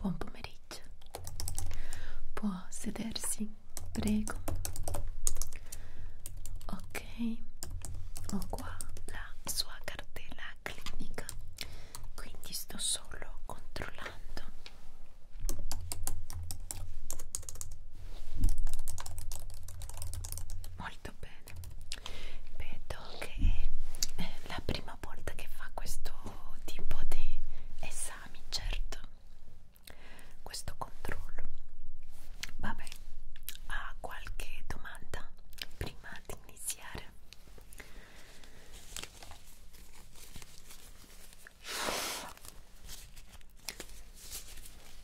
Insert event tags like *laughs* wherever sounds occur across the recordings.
Buon pomeriggio. Può sedersi, prego. Ok, ok ho qua la sua cartella clinica quindi sto solo controllando molto bene vedo che è la prima volta che fa questo tipo di esami certo questo controllo Vabbè, ha qualche domanda prima di iniziare?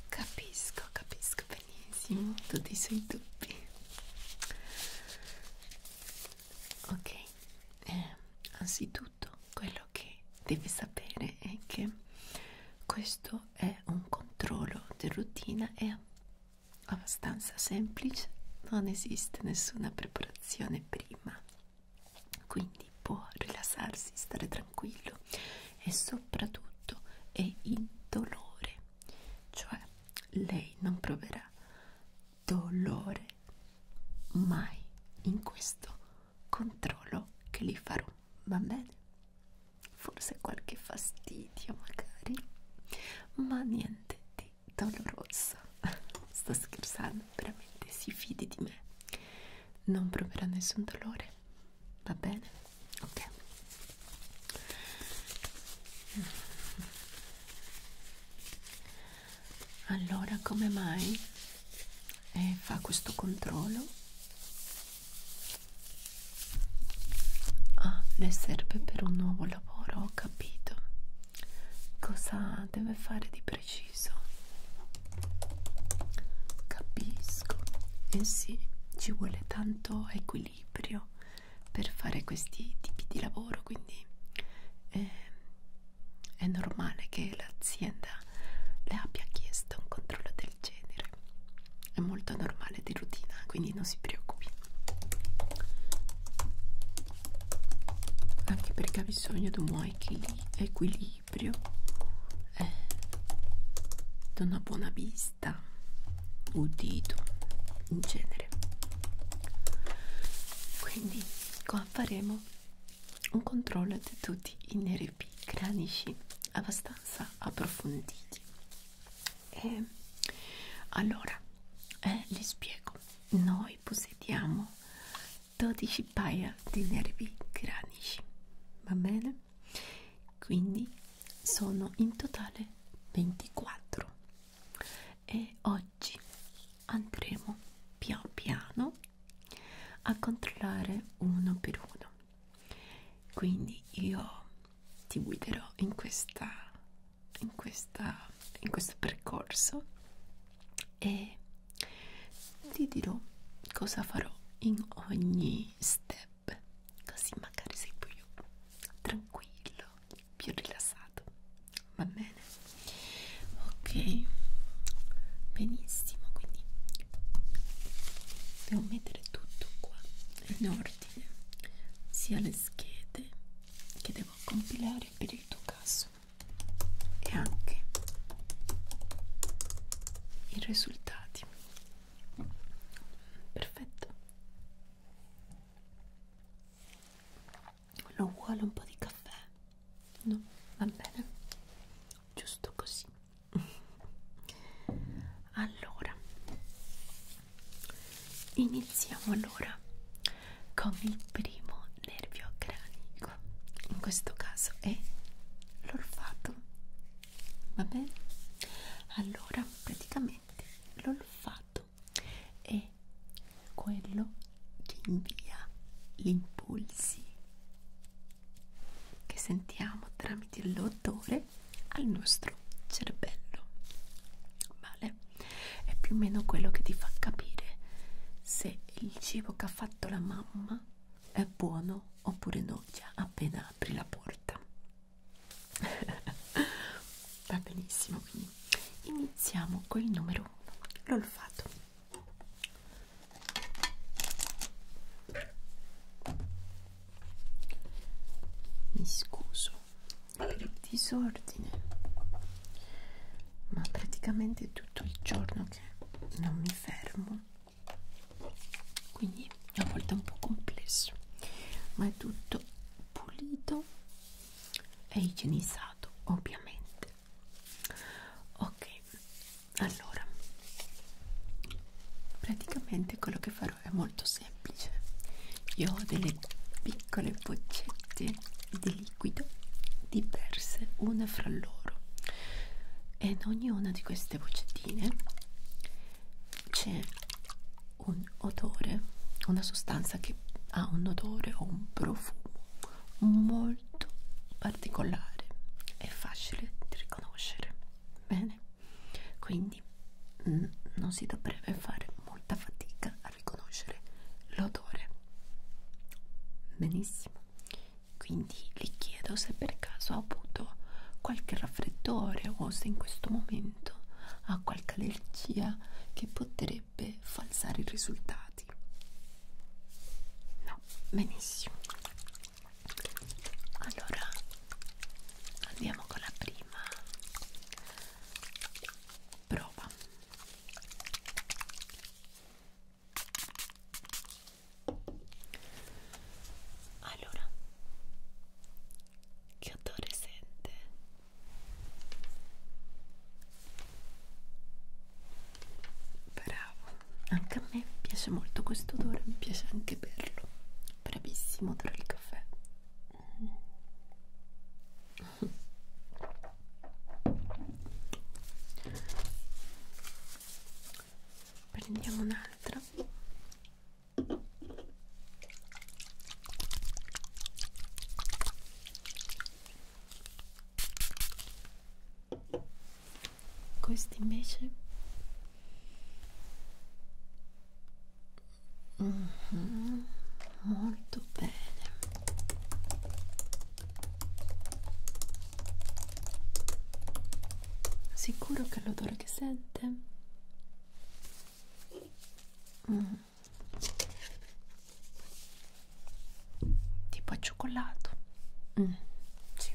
Capisco, capisco benissimo tutti i suoi dubbi. Ok, eh, anzitutto quello che devi sapere è che questo questo è un controllo di routine è abbastanza semplice non esiste nessuna preparazione prima quindi può rilassarsi stare tranquillo e soprattutto è indolore cioè lei non proverà dolore mai in questo controllo che li farò va bene forse qualche fastidio magari ma niente di doloroso *laughs* sto scherzando veramente si fidi di me non proverà nessun dolore va bene ok allora come mai eh, fa questo controllo Ah, le serve per un nuovo lavoro, ho capito. Cosa deve fare di preciso? Capisco. Eh sì, ci vuole tanto equilibrio per fare questi tipi di lavoro, quindi è, ehm, è normale che l'azienda le abbia chiesto un controllo del del genere è molto normale di routine quindi non si preoccupi anche perché ha bisogno di un buon equilibrio eh, di una buona vista udito in genere quindi qua faremo un controllo di tutti i nervi cranici abbastanza approfonditi eh, allora eh, le spiego noi possediamo 12 paia di nervi cranici va bene quindi sono in totale 24 e oggi andremo pian piano a controllare uno per uno quindi io ti guiderò in questa in questa in questo percorso e ti dirò cosa farò in ogni step così magari sei più tranquillo più rilassato va bene ok benissimo quindi devo mettere tutto qua in ordine sia le schede che devo compilare per il tuo caso e anche i risultati perfetto lo vuole un po' di caffè? no? va bene giusto così allora iniziamo allora con il primo nervio cranico in questo caso è l'olfato va bene allora praticamente l'olfato è quello che invia gli impulsi che sentiamo tramite l'odore al nostro cervello vale è più o meno quello che ti fa capire se il cibo che ha fatto la mamma è buono oppure no già appena apri la porta *laughs* va benissimo quindi iniziamo con il numero 1 l'olfato mi scuso per il disordine, ma praticamente tutto il giorno che non mi fermo, quindi a volte è un po' complesso, ma è tutto pulito e igienizzato, ovviamente. Ok, allora praticamente quello che farò però è molto semplice io ho delle piccole boccette di liquido diverse una fra loro e in ognuna di queste boccettine c'è un odore una sostanza che ha un odore o un profumo molto particolare è facile di riconoscere bene quindi mh, non si dovrebbe fare molta fatica a riconoscere l'odore benissimo quindi gli chiedo se per caso ha avuto qualche raffreddore o se in questo momento ha qualche allergia che potrebbe falsare i risultati no benissimo allora andiamo con la prima prova allora che odore sente? bravo anche a me piace molto questo odore mi piace anche berlo bravissimo odore il caffè prendiamo un'altra questi invece Mm -hmm. Molto bene. Sicuro che l'odore che sente mm. tipo a cioccolato. Mm. Sì.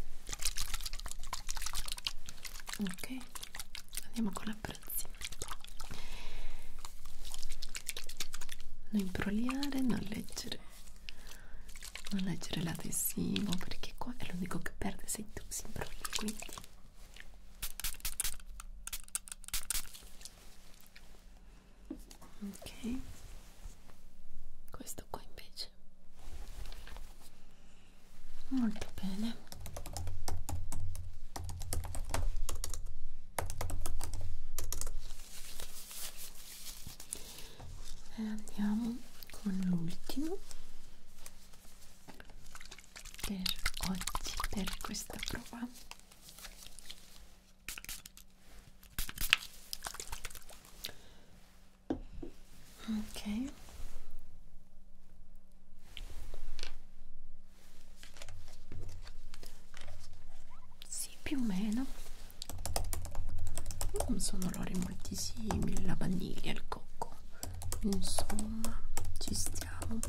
Ok, andiamo con la prezzi non imbrogliare, non leggere non leggere l'adesivo perché qua è l'unico che perde se tu si imbrogli quindi ok questo qua invece molto bene e andiamo con l'ultimo per oggi per questa prova ok sì più o meno non sono olori molto simili la vaniglia e il cocco insomma ci stiamo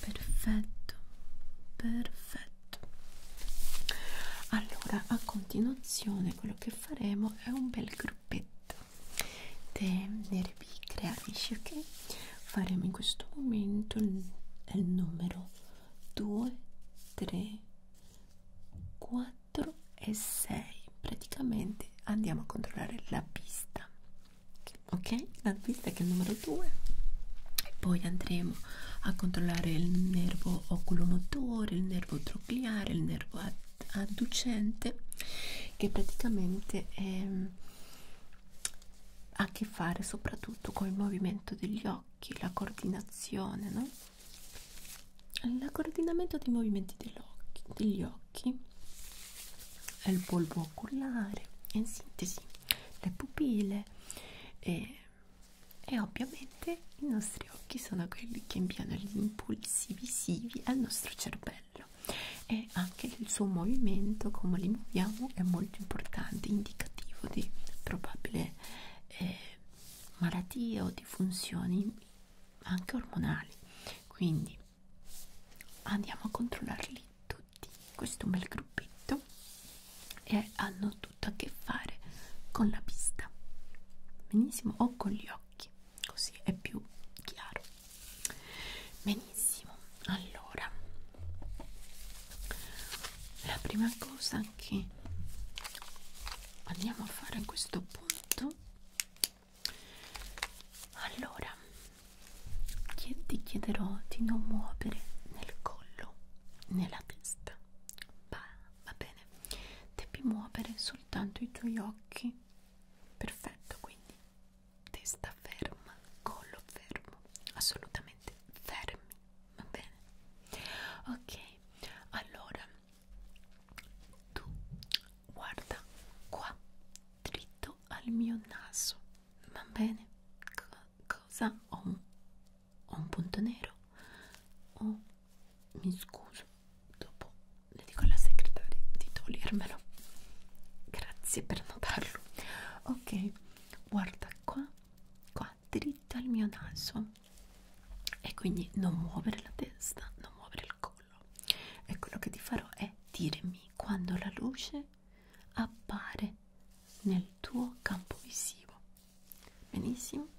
perfetto perfetto allora a continuazione quello che faremo è un bel gruppetto te nere creanisci ok faremo in questo momento il, il numero 2 3 4 e 6 praticamente andiamo a controllare la pista ok la pista che è il numero 2 e poi andremo a controllare il nervo oculomotore il nervo introcliare, il nervo adducente che praticamente è, ha a che fare soprattutto con il movimento degli occhi, la coordinazione, no? il coordinamento dei movimenti degli occhi, degli occhi è il polvo oculare, in sintesi le pupille e e ovviamente i nostri occhi sono quelli che inviano gli impulsi visivi al nostro cervello e anche il suo movimento come li muoviamo è molto importante indicativo di probabile eh, malattie o di funzioni anche ormonali quindi andiamo a controllarli tutti questo è un bel gruppetto e hanno tutto a che fare con la pista benissimo o con gli occhi così è più chiaro benissimo allora la prima cosa che andiamo a fare a questo punto allora ti chiederò di non muovere nel collo nella testa va, va bene devi muovere solo soltanto i tuoi occhi perfetto quindi testa ferma collo fermo assolutamente fermi va bene ok allora tu guarda qua dritto al mio naso va bene C cosa ho un, ho un punto nero oh, mi scuso dopo le dico alla segretaria di togliermelo grazie per notarlo ok guarda qua qua dritto al mio naso e quindi non muovere la testa non muovere il collo e quello che ti farò è dirmi quando la luce appare nel tuo campo visivo benissimo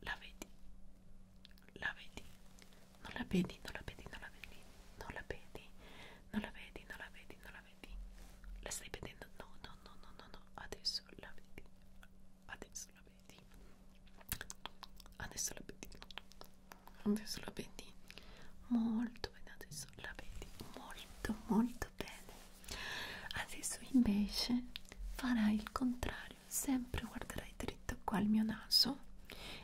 la vedi, la vedi, non la vedi, non la vedi, non la vedi, non la vedi, non la vedi, non la vedi, non la vedi, la stai vedendo? No, no, no, no, no, no, adesso la vedi, adesso la vedi, adesso la vedi, adesso la vedi, molto bene, adesso la vedi, molto, molto bene, adesso invece farai il contrario contrario, sempre guarderai dritto qua al mio naso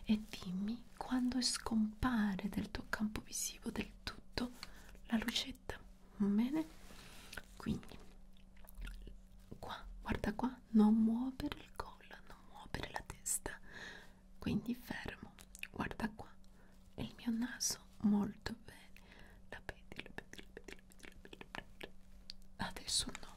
e dimmi quando scompare dal tuo campo visivo del tutto la lucetta, bene? Quindi, qua, guarda qua, non muovere il collo, non muovere la testa, quindi fermo, guarda qua, e il mio naso molto bene, la vedi, la vedi, la vedi, la vedi, la vedi, la vedi. adesso no,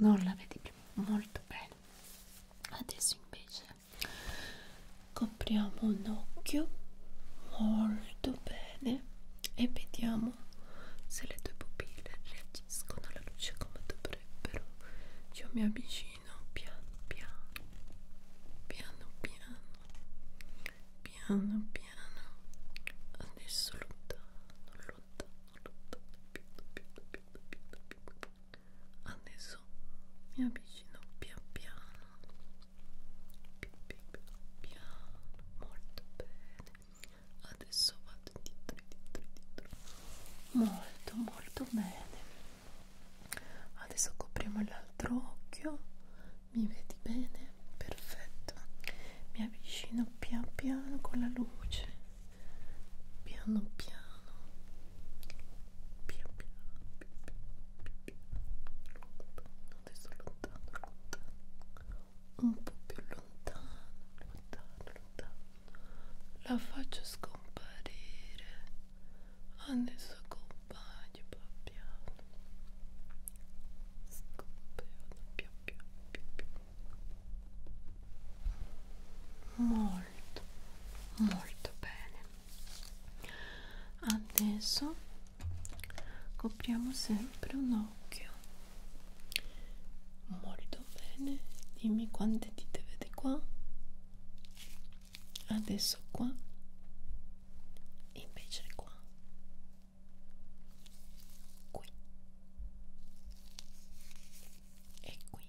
non la vedi più molto bene adesso invece copriamo un occhio molto bene e vediamo se le tue pupille reagiscono alla luce come dovrebbero io mi avvicino piano piano piano piano piano piano adesso lontano lontano lontano piano piano piano piano piano adesso mi avvicino pian piano pian piano molto bene adesso vado dietro dietro dietro molto molto bene adesso copriamo l'altro occhio mi vedi bene perfetto mi avvicino pian piano con la luce piano piano piano piano adesso lontano lontano un po' più lontano lontano lontano la faccio scomparire adesso compagno piano piano scompiano piano piano piano piano molto molto bene adesso copriamo sempre un occhio molto bene dimmi quante dite vedi qua adesso qua invece qua qui e qui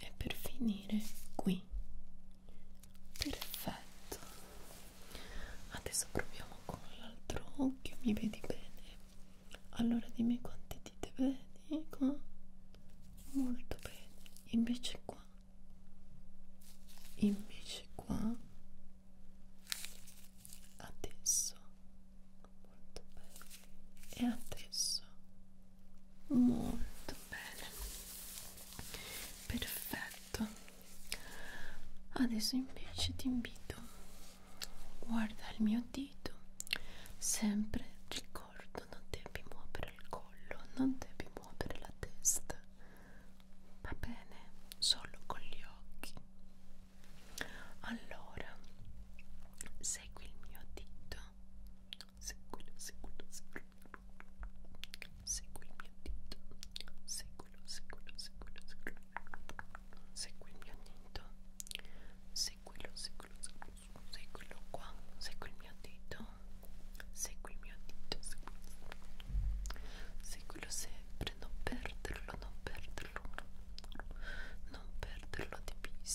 e per finire qui perfetto adesso proviamo con l'altro occhio mi vedi bene allora dimmi quante dite vedi qua ecco. molto bene invece qua invece qua adesso molto bene e adesso molto bene perfetto adesso invece ti invito guarda il mio dito sempre ricordo non devi muovere il collo non devi muovere la testa va bene solo con gli occhi allora Segui il mio dito. Seguilo, seguilo, seguilo. Segui il mio dito. Seguilo, seguilo, seguilo, seguilo. Segui il mio dito. Seguilo, seguilo, seguilo. Seguilo qua. Segui il mio dito. Segui il mio dito. Seguilo sempre. Non perderlo, non perderlo. Non perderlo di vista.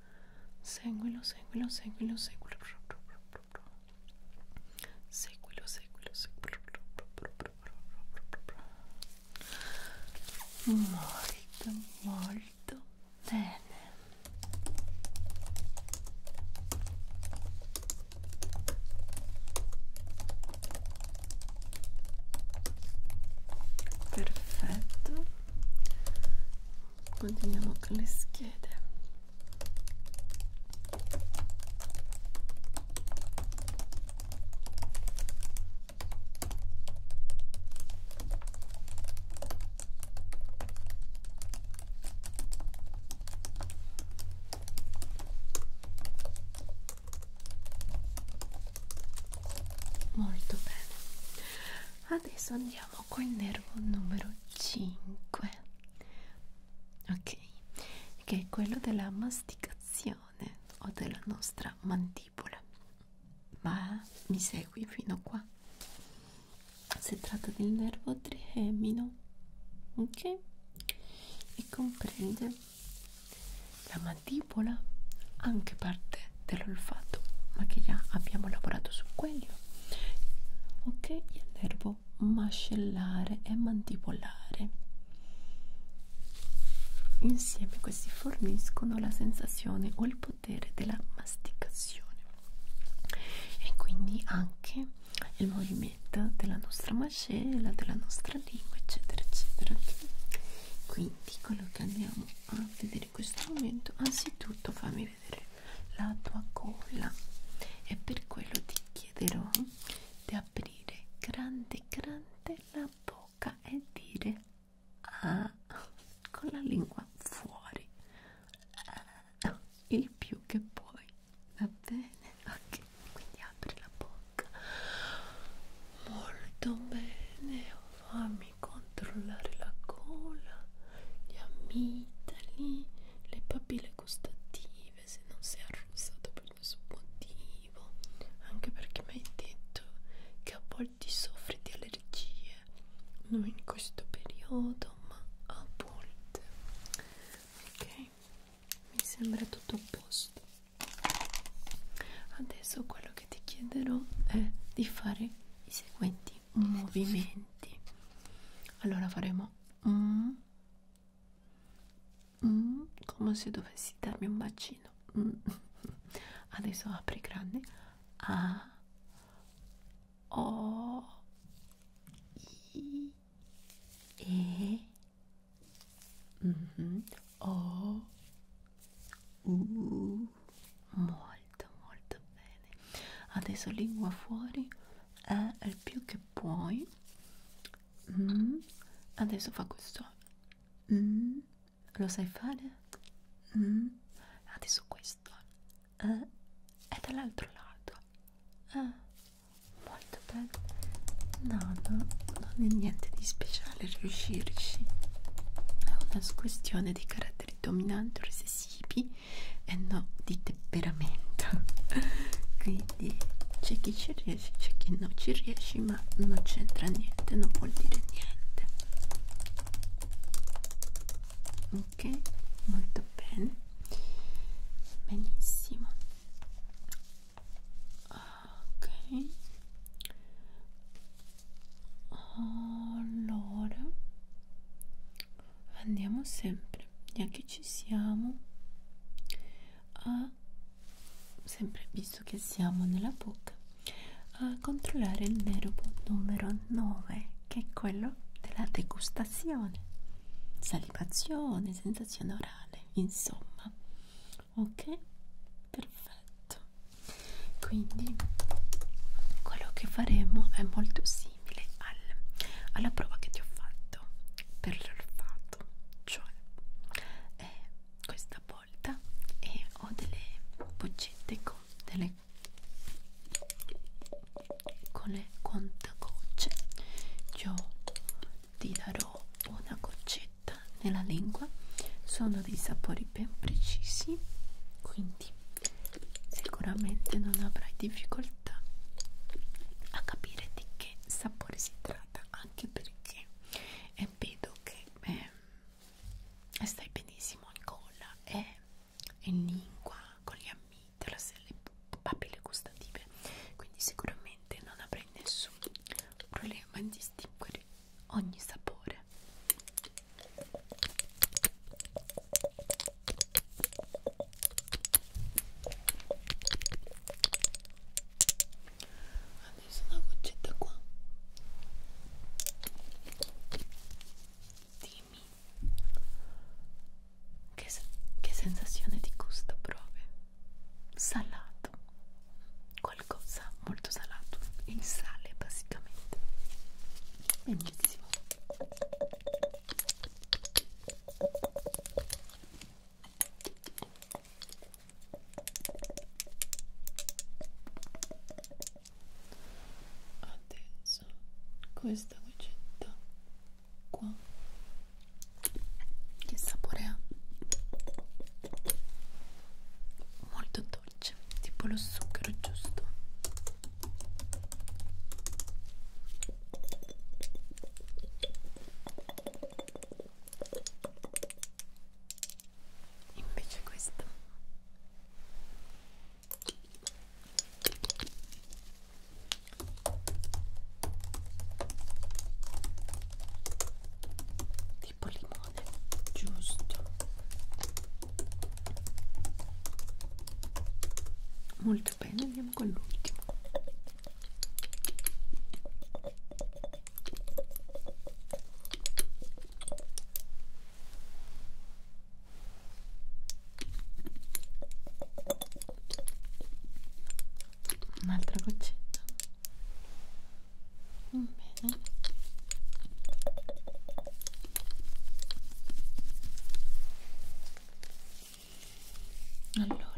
seguilo, seguilo, seguilo, seguilo seguilo, seguilo, seguilo molto, molto bene perfetto continuiamo con le schede molto bene adesso andiamo Iniziamo col nervo numero 5, ok? Che è quello della masticazione o della nostra mandibola. Ma mi segui fino qua. Si tratta del nervo tremino, ok? E comprende la mandibola, anche parte dell'olfatto, ma che già abbiamo lavorato su quelli meno ecco. ok il nervo mascellare e mandibolare insieme questi forniscono la sensazione o il potere della masticazione e quindi anche il movimento della nostra mascella della nostra lingua eccetera eccetera okay? quindi quello che andiamo a vedere in questo momento anzitutto fammi vedere la tua colla e per quello ti chiederò di aprire grande grande la bocca e dire ah, con la lingua fuori ah, il più che puoi va bene ok quindi apri la bocca molto bene oh, fammi controllare la colla gli amitali, le papille gustative se non sei arrossato per nessun motivo anche perché mi hai detto che a volte soffri di allergie non in questo periodo ma a volte ok mi sembra tutto a posto adesso quello che ti chiederò è di fare i seguenti movimenti allora faremo mm, mm, come se dovessi darmi un bacino mm. *laughs* adesso apri grande a o i e mm -hmm. o u muori molto molto bene adesso lingua fuori è il più che puoi mm. adesso fa questo mm. lo sai fare? Mm. adesso questo eh. è dall'altro lato eh. molto bene no, no, non è niente di speciale riuscirci è una questione di caratteri dominanti o recessivi e eh no di temperamento *laughs* quindi c'è chi ci riesce c'è chi non ci riesce ma non c'entra niente non vuol dire niente ok molto bene benissimo ok allora andiamo sempre e che ci siamo a sempre visto che siamo nella bocca a controllare il nervo numero 9 che è quello della degustazione salivazione sensazione orale insomma ok perfetto quindi quello che faremo è molto simile simile al, alla prova che ti ho fatto per l'olfatto cioè eh, questa volta eh, ho delle boccette con delle con le contagocce io ti darò una goccetta nella lingua sono dei sapori ben precisi quindi sicuramente non avrai difficoltà a capire di che sapore si tratta anche perché eh, vedo che eh, stai benissimo in gola e eh, in lingua con gli amici, le papille gustative quindi sicuramente non avrai nessun problema in distinguere ogni sapore adesso una goccetta qua dimmi che, se che sensazione di gusto provi? salato qualcosa molto salato il sale basicamente benissimo adesso questa goccetta qua che sapore ha molto dolce tipo lo zucchero giusto invece questo tipo limone giusto molto bene andiamo con l'ultimo un'altra goccetta mm, bene allora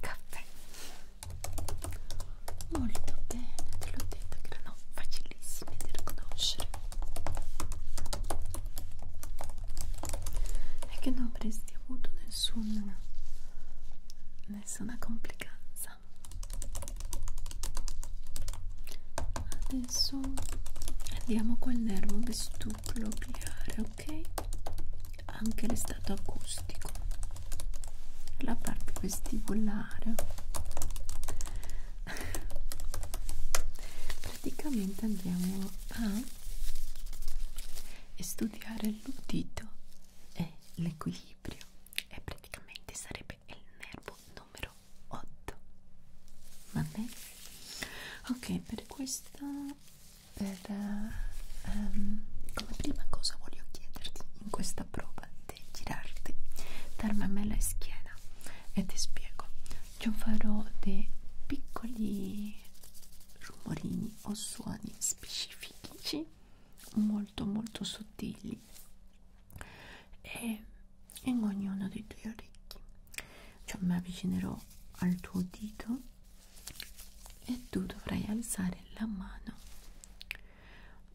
caffè molto bene te l'ho detto che erano facilissime da riconoscere e che non avresti avuto nessun nessuna complicanza adesso andiamo col nervo vestuplo gliare ok anche le stato acustico la parte vestibolare *laughs* praticamente andiamo a studiare l'udito e l'equilibrio e praticamente sarebbe sempre il nervo numero 8 va bene? ok per questo per uh, um, come prima cosa voglio chiederti in questa prova di girarti darmi a me la schiena e ti spiego io farò dei piccoli rumorini o suoni specifici molto molto sottili e in ognuno dei tuoi orecchi cioè mi avvicinerò al tuo dito e tu dovrai alzare la mano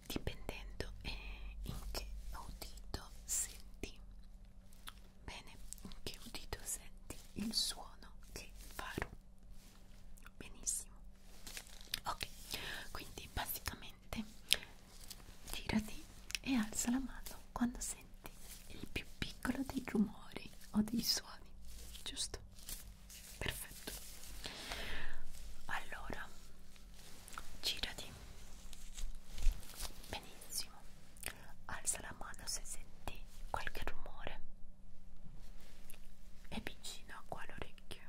dipendendo eh, in che udito senti bene in che udito senti il suono che farò benissimo ok quindi basicamente girati e alza la mano quando senti il più piccolo dei rumori o dei suoni, giusto? Perfetto. Allora, girati. Benissimo. Alza la mano se senti qualche rumore. È vicino qua l'orecchio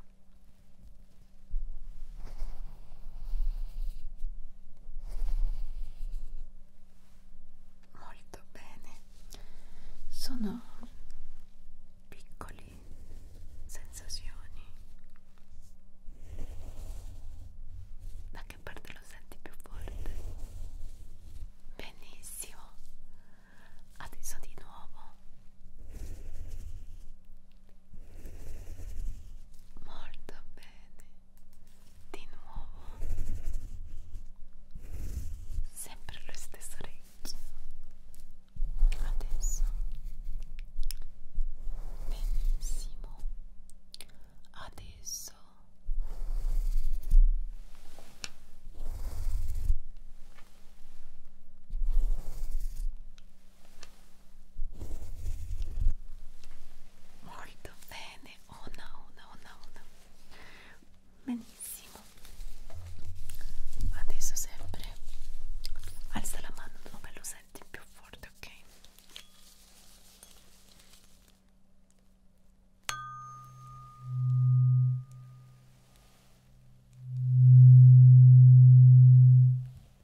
molto bene sono piccoli sensazioni da che parte lo senti più forte benissimo adesso di nuovo molto bene di nuovo sempre lo stesso orecchio adesso benissimo adesso molto bene una una una una benissimo adesso sempre alza la mano dove lo senti più forte ok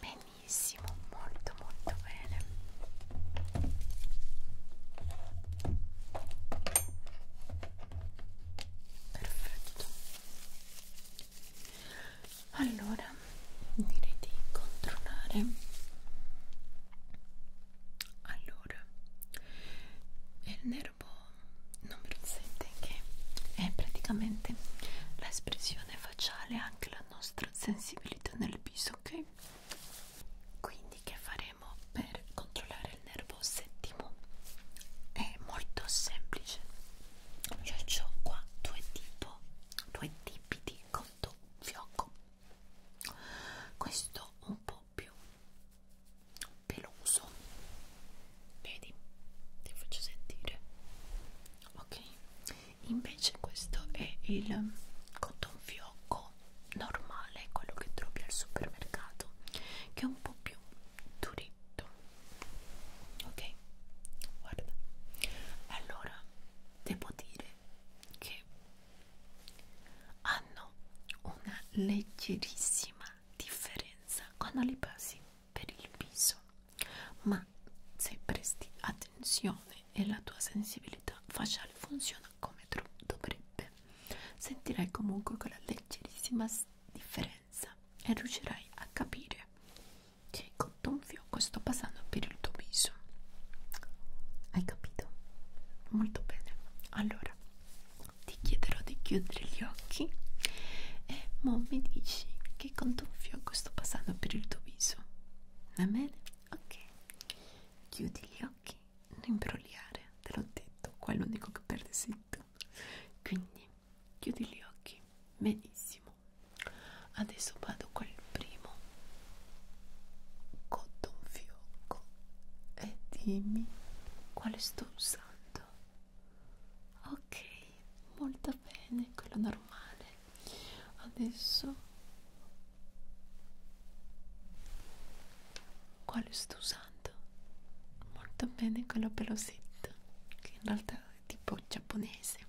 Benissimo, molto molto bene. Perfetto. Allora direi di controllare allora il nervo numero 7 che è praticamente l'espressione facciale anche la nostra sensibilità nel viso ok quindi che faremo per controllare il nervo settimo è molto semplice io ho qua due tipo due tipi di conto fiocco questo un po' doppio peloso vedi ti faccio sentire ok invece questo è il cotton fiocco normale quello che trovi al supermercato che è un po' più duretto ok guarda allora devo dire che hanno una leggerissima differenza quando li passi per il viso ma se presti attenzione e la tua sensibilità facciale funziona come dovrebbe sentirai comunque quella leggerissima differenza e riuscirai a capire che con un fiocco sto passando per il tuo viso hai capito? molto bene allora ti chiederò di chiudere gli occhi e mo mi dici che contonfioco sto passando per il tuo viso va bene? ok chiudi gli occhi non imbrogliare te l'ho detto qua è l'unico che perde sei tu quindi chiudi gli occhi benissimo adesso vado col primo cotta un fiocco e dimmi quale sto usando. Ok, molto bene, quello normale. Adesso quale sto usando? Molto bene, quello pelosetto, che in realtà è tipo giapponese.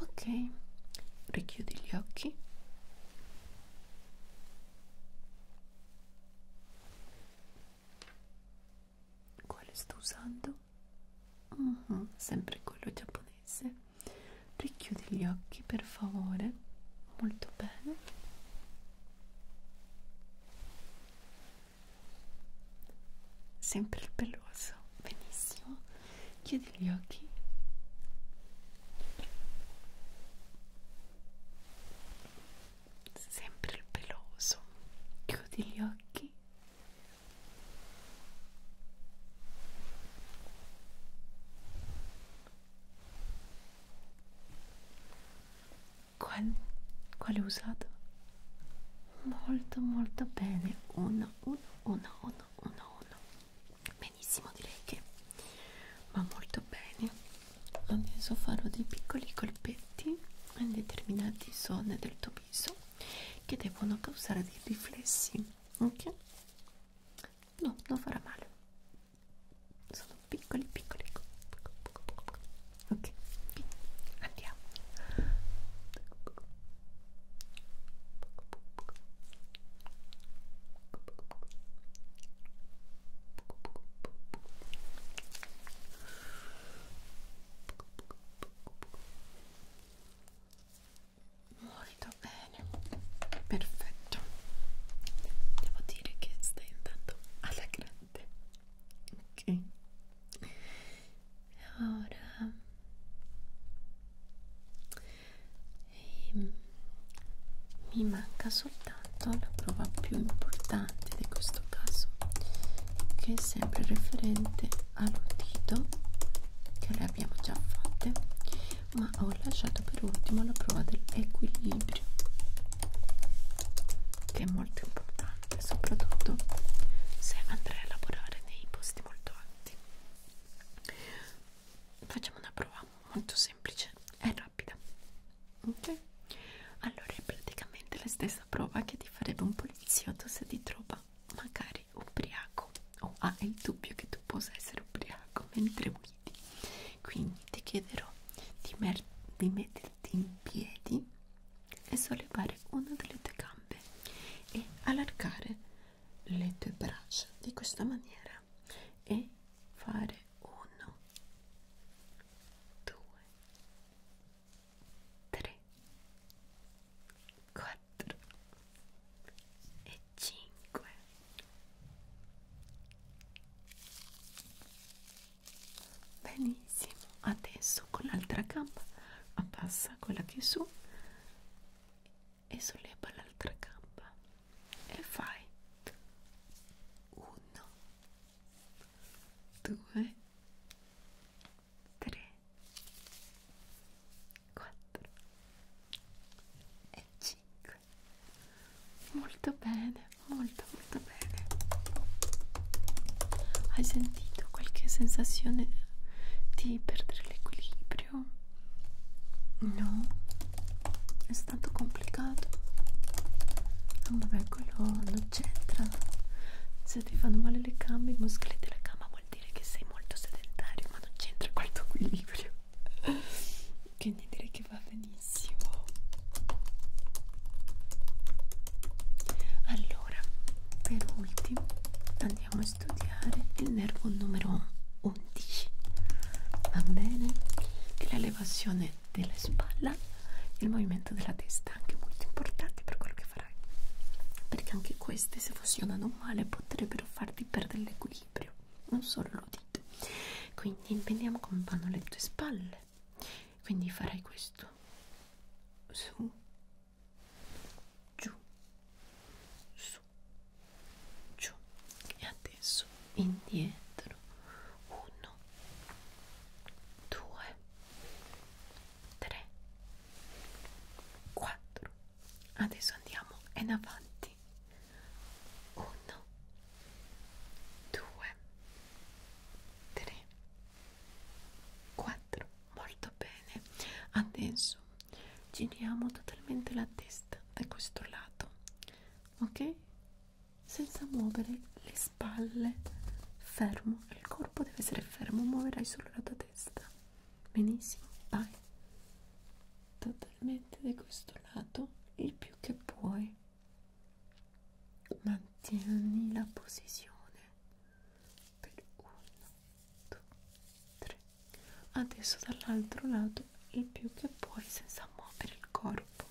Ok, richiudi gli occhi quale sto usando? Uh ah, -huh, sempre quello giapponese richiudi gli occhi per favore molto bene sempre il peloso benissimo chiudi gli occhi sempre il peloso chiudi gli occhi quale, quale ho usato? molto molto bene 1 1 1 1 1 1 benissimo direi che va molto bene adesso farò dei piccoli colpetti in determinate zone del tuo viso che devono causare dei riflessi ok no non farà male sono piccoli piccoli ok andiamo Molto bene, perfetto. Devo dire che stai andando alla grande. Ok. Ora ehm, mi manca soltanto la prova più importante di questo caso che è sempre riferente all'udito che le abbiamo già fatte ma ho lasciato per ultimo la prova dell'equilibrio che è molto importante soprattutto se andrai a lavorare nei posti molto alti facciamo una prova facciamo molto semplice e rapida ok allora è praticamente la stessa prova che ti farebbe un poliziotto se ti trova magari ubriaco o ha ah, il dubbio che tu possa essere ubriaco mentre guidi quindi ti chiederò di, di metterti in piedi e sollevare una delle tue gambe e allargare le tue braccia di questa maniera e fare uno, due, tre, quattro e cinque. Benissimo, adesso con l'altra gamba abbassa quella che è su e solleva l'altra gamba e fai 1 2 3 4 e 5 molto bene molto molto bene hai sentito qualche sensazione di perdere l'equilibrio no è tanto complicato ah, vabbè quello non c'entra se ti fanno male le gambe i muscoli della gamba vuol dire che sei molto sedentario ma non c'entra col tuo equilibrio *laughs* quindi direi che va benissimo allora per ultimo andiamo a studiare il nervo numero 11 va bene? che è l'elevazione della spalla il movimento della testa anche molto importanti per quello che farai perché anche queste se funzionano male potrebbero farti perdere l'equilibrio non solo l'udito quindi vediamo come vanno le tue spalle quindi farai questo su giù su giù e a avanti su indietro uno due tre quattro adesso andiamo in avanti uno due tre quattro molto bene adesso giriamo totalmente la testa da questo lato ok senza muovere le spalle fermo il corpo deve essere fermo muoverai solo la tua testa benissimo vai totalmente da questo lato il più che puoi mantieni la posizione per 1 2 3 adesso dall'altro lato il più che puoi senza muovere il corpo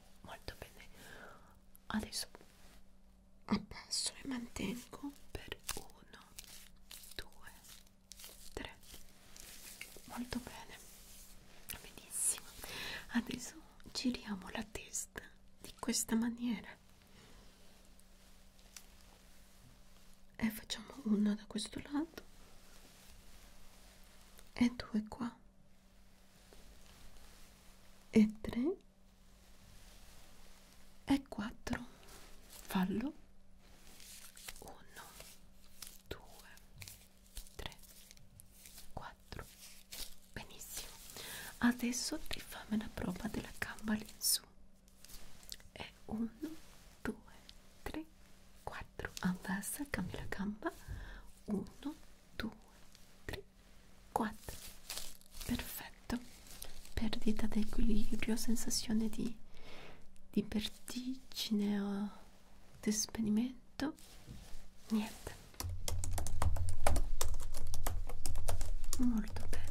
molto bene adesso abbasso e mantengo per 1 2 3 molto bene benissimo adesso giriamo la testa di questa maniera e facciamo una da questo lato e due qua e 3 e 4 fallo 1 2 3 4 benissimo adesso ti fammi la prova della gamba lì in su e 1 2 3 4 avanza cambia la gamba 1 2, 3, 4. Perfetto. Perdita di equilibrio, sensazione di, di vertigine o di spegnimento. Niente. Molto bene.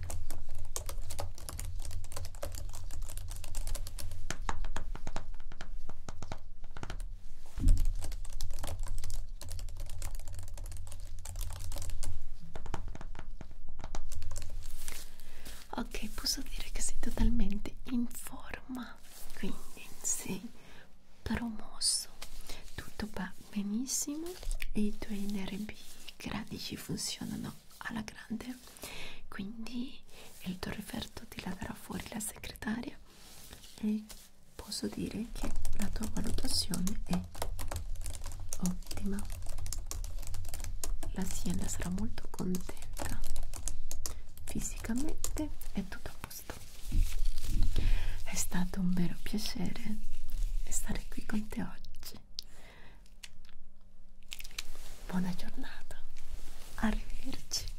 Ok, posso dire che sei totalmente in forma, quindi sei promosso, tutto va benissimo e i tuoi nervi cranici funzionano alla grande, quindi il tuo referto ti la darà fuori la segretaria e posso dire che la tua valutazione è ottima l'azienda sarà molto contenta fisicamente è tutto a posto è stato un vero piacere stare qui con te oggi buona giornata arrivederci